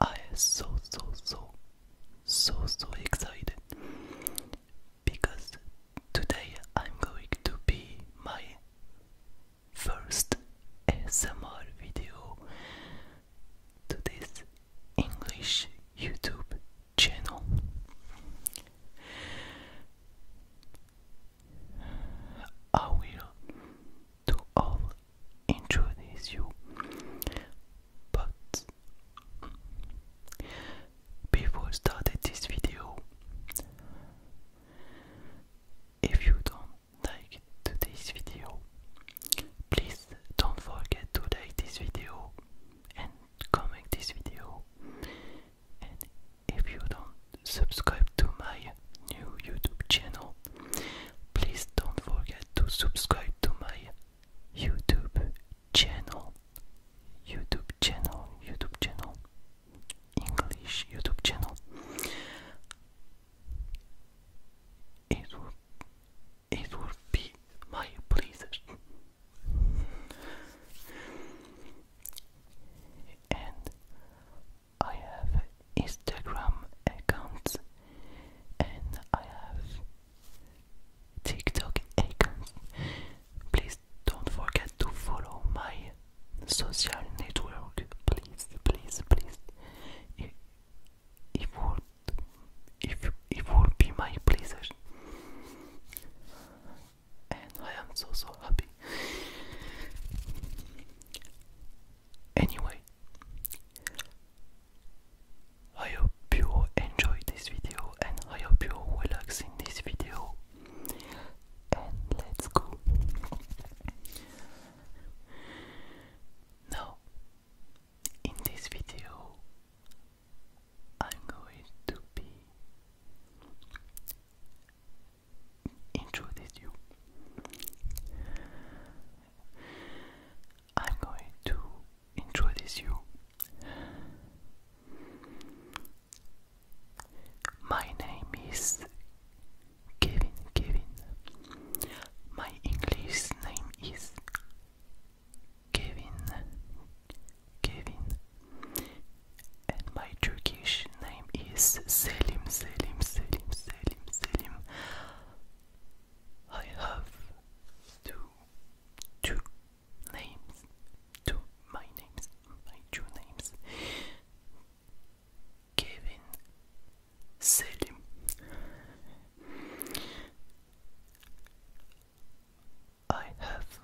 I am so so so so so excited because today I'm going to be my first ASMR video to this English YouTube channel. I will do all Introduce you but before started this video if you don't like today's video please don't forget to like this video and comment this video and if you don't subscribe to my new YouTube channel. Please don't forget to subscribe to my YouTube channel. YouTube channel, YouTube channel, English YouTube channel. It will, it will be my pleasure. And I have Instagram accounts and I have TikTok accounts. Please don't forget to follow my social network. Please, please, please. It, it would if it would be my pleasure. And I am so so happy. Anyway, I hope you enjoyed this video and I hope you relax in this video. And let's go. Now, in this video, I'm going to be introduce you. I'm going to introduce you. My name is Kevin. Kevin. My English name is Kevin. Kevin. And my Turkish name is Selim, Selim, Selim, Selim, Selim. I have two, two names, two my names, my two names. Kevin, Selim. I have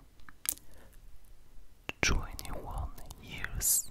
twenty one years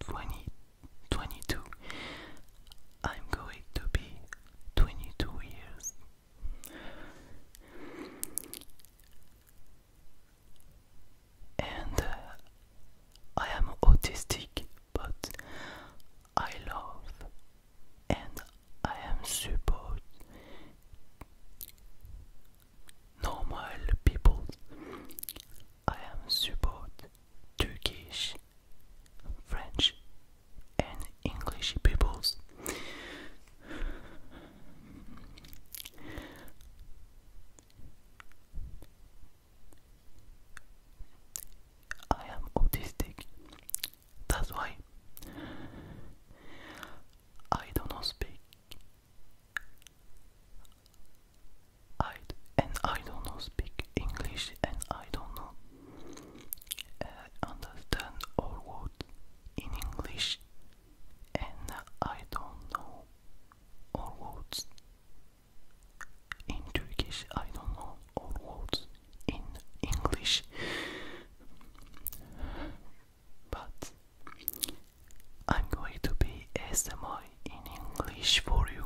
2022. I'm going to be 22 years. And uh, I am autistic, but I love and I am support normal people. I am support Turkish, French, and English peoples. I am autistic. That's why I don't speak I and I don't know speak English and I don't know uh, understand all words in English and I don't know all words in Turkish I don't know all words in English but I'm going to be SMI in English for you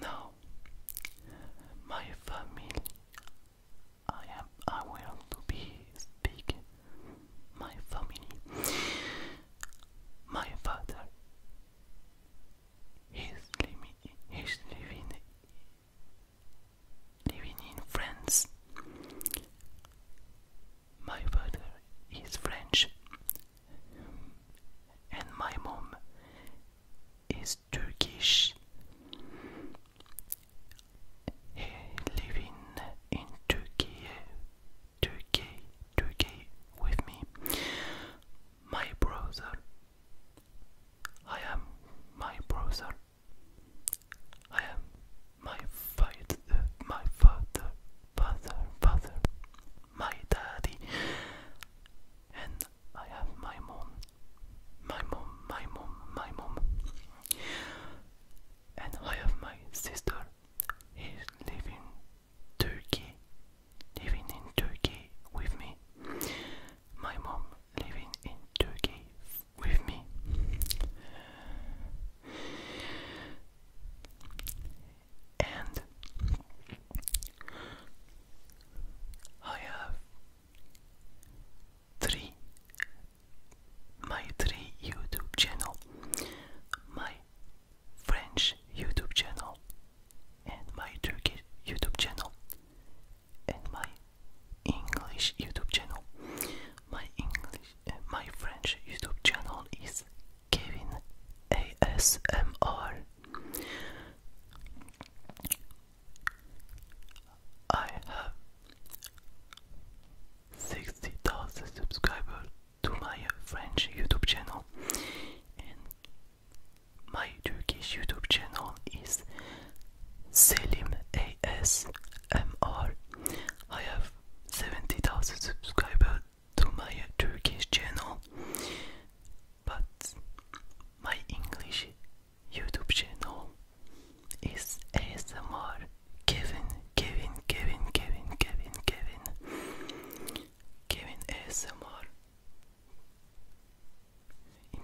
now, my family, I am aware to be speaking. My family, my father, he's living, he's living, living in France. My father is French, and my mom is Turkish. He living in Turkey, Turkey, Turkey with me. My brother, I am my brother. I am my father, my father, father, father, my daddy, and I have my mom, my mom, my mom, my mom, and I have my sister. He's living in Turkey, living in Turkey with me. My mom living in Turkey with me. And I have three my three YouTube channel, my French YouTube channel, and my Turkish YouTube channel, and my English YouTube channel. My English, eh, my French YouTube channel is Kevin ASMR. I have 60,000 subscribers to my French YouTube channel and my Turkish YouTube channel is Selim ASMR. I have 70,000 subscribers to my Turkish channel, but my English YouTube channel is ASMR Kevin, Kevin, Kevin, Kevin, Kevin, Kevin, Kevin ASMR.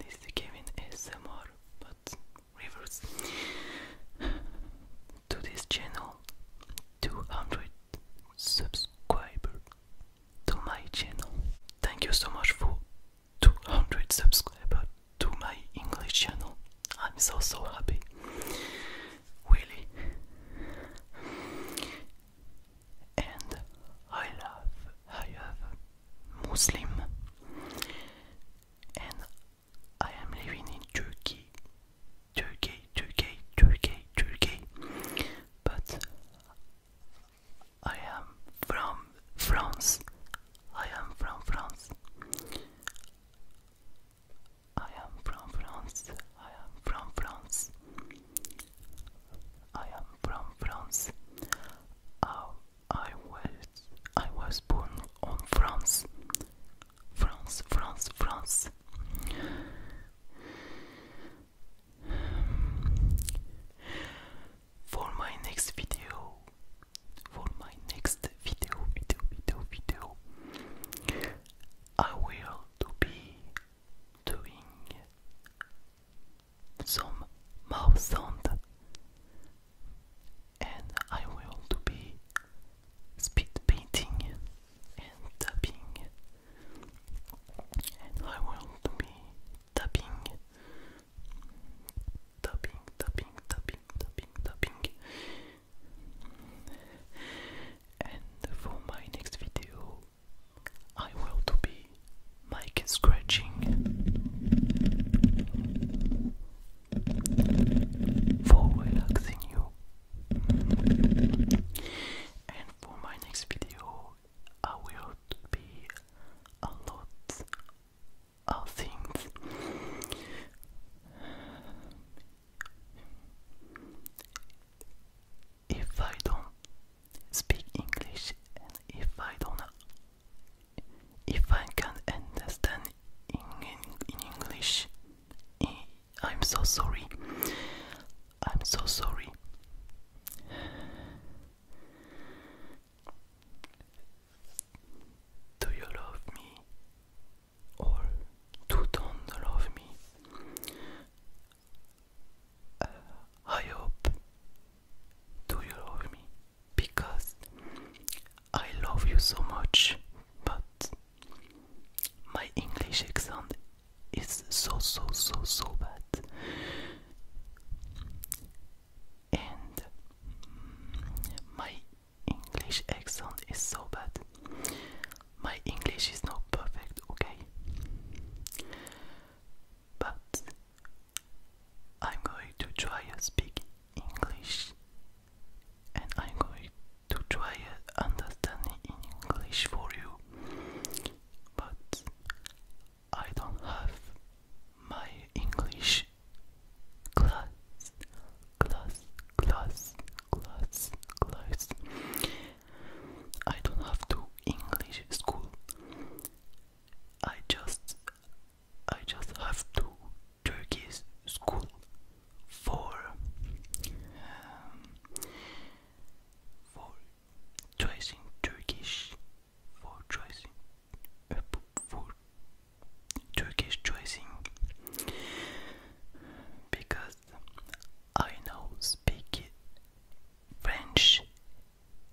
It is the Kevin ASMR, but rivers to this channel 200 subscribers to my channel thank you so much for 200 subscribers to my english channel i'm so so happy really and i love i have muslim and I am living in Turkey, Turkey, Turkey, Turkey, Turkey, but I am from France. I am from France. I am from France. I am from France. I am from France. Our I was I was born on France. France, France, France. For my next video, for my next video, video, video, video, I will to be doing some mouth sound and I will to be speed painting and tapping and I will to be tapping tapping tapping tapping tapping and for my next video I will to be mic scratching for relaxing you. And for my next video, I will be a lot of things. If I don't speak English and if I don't if I can understand in, English, eh, I'm so sorry. I'm so sorry. Do you love me or do don't love me? Uh, I hope do you love me? Because I love you so much, but my English accent is so, so, so, so bad. And my English accent is so bad. My English is not perfect, okay? But I'm going to try to speak English and I'm going to try to understand in English for you but I don't have my English class class class class class I don't have to English school I just I just have to Turkey's school for um, for tracing Turkish for tracing uh, for Turkish tracing because I now speak French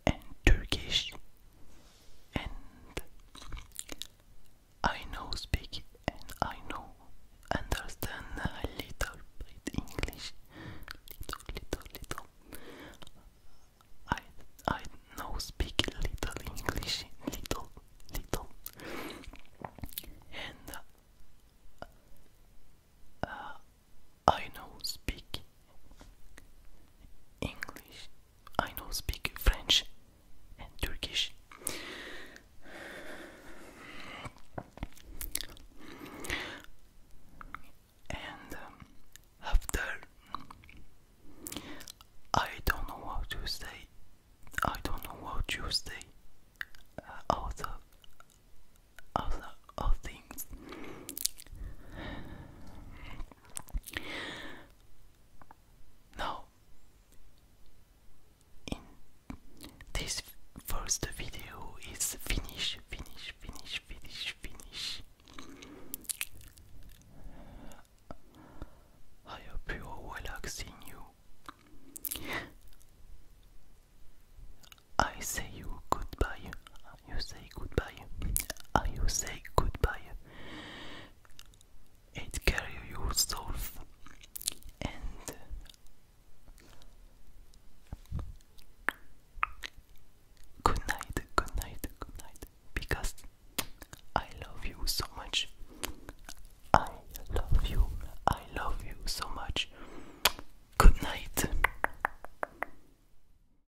and Turkish and I know speak and I know understand a little bit English little little little I I know speak little English little little and uh, I know speak English I know speak French and Turkish. And um, after I don't know what to say. I don't know what to say. other, other, other things. Now, this first video is finish, finish, finish, finish, finish. I hope you are relaxing you. I say you goodbye you say goodbye. How you say goodbye. It carry yourself and good night, good night, good night. Because I love you so much. I love you. I love you so much. Good night.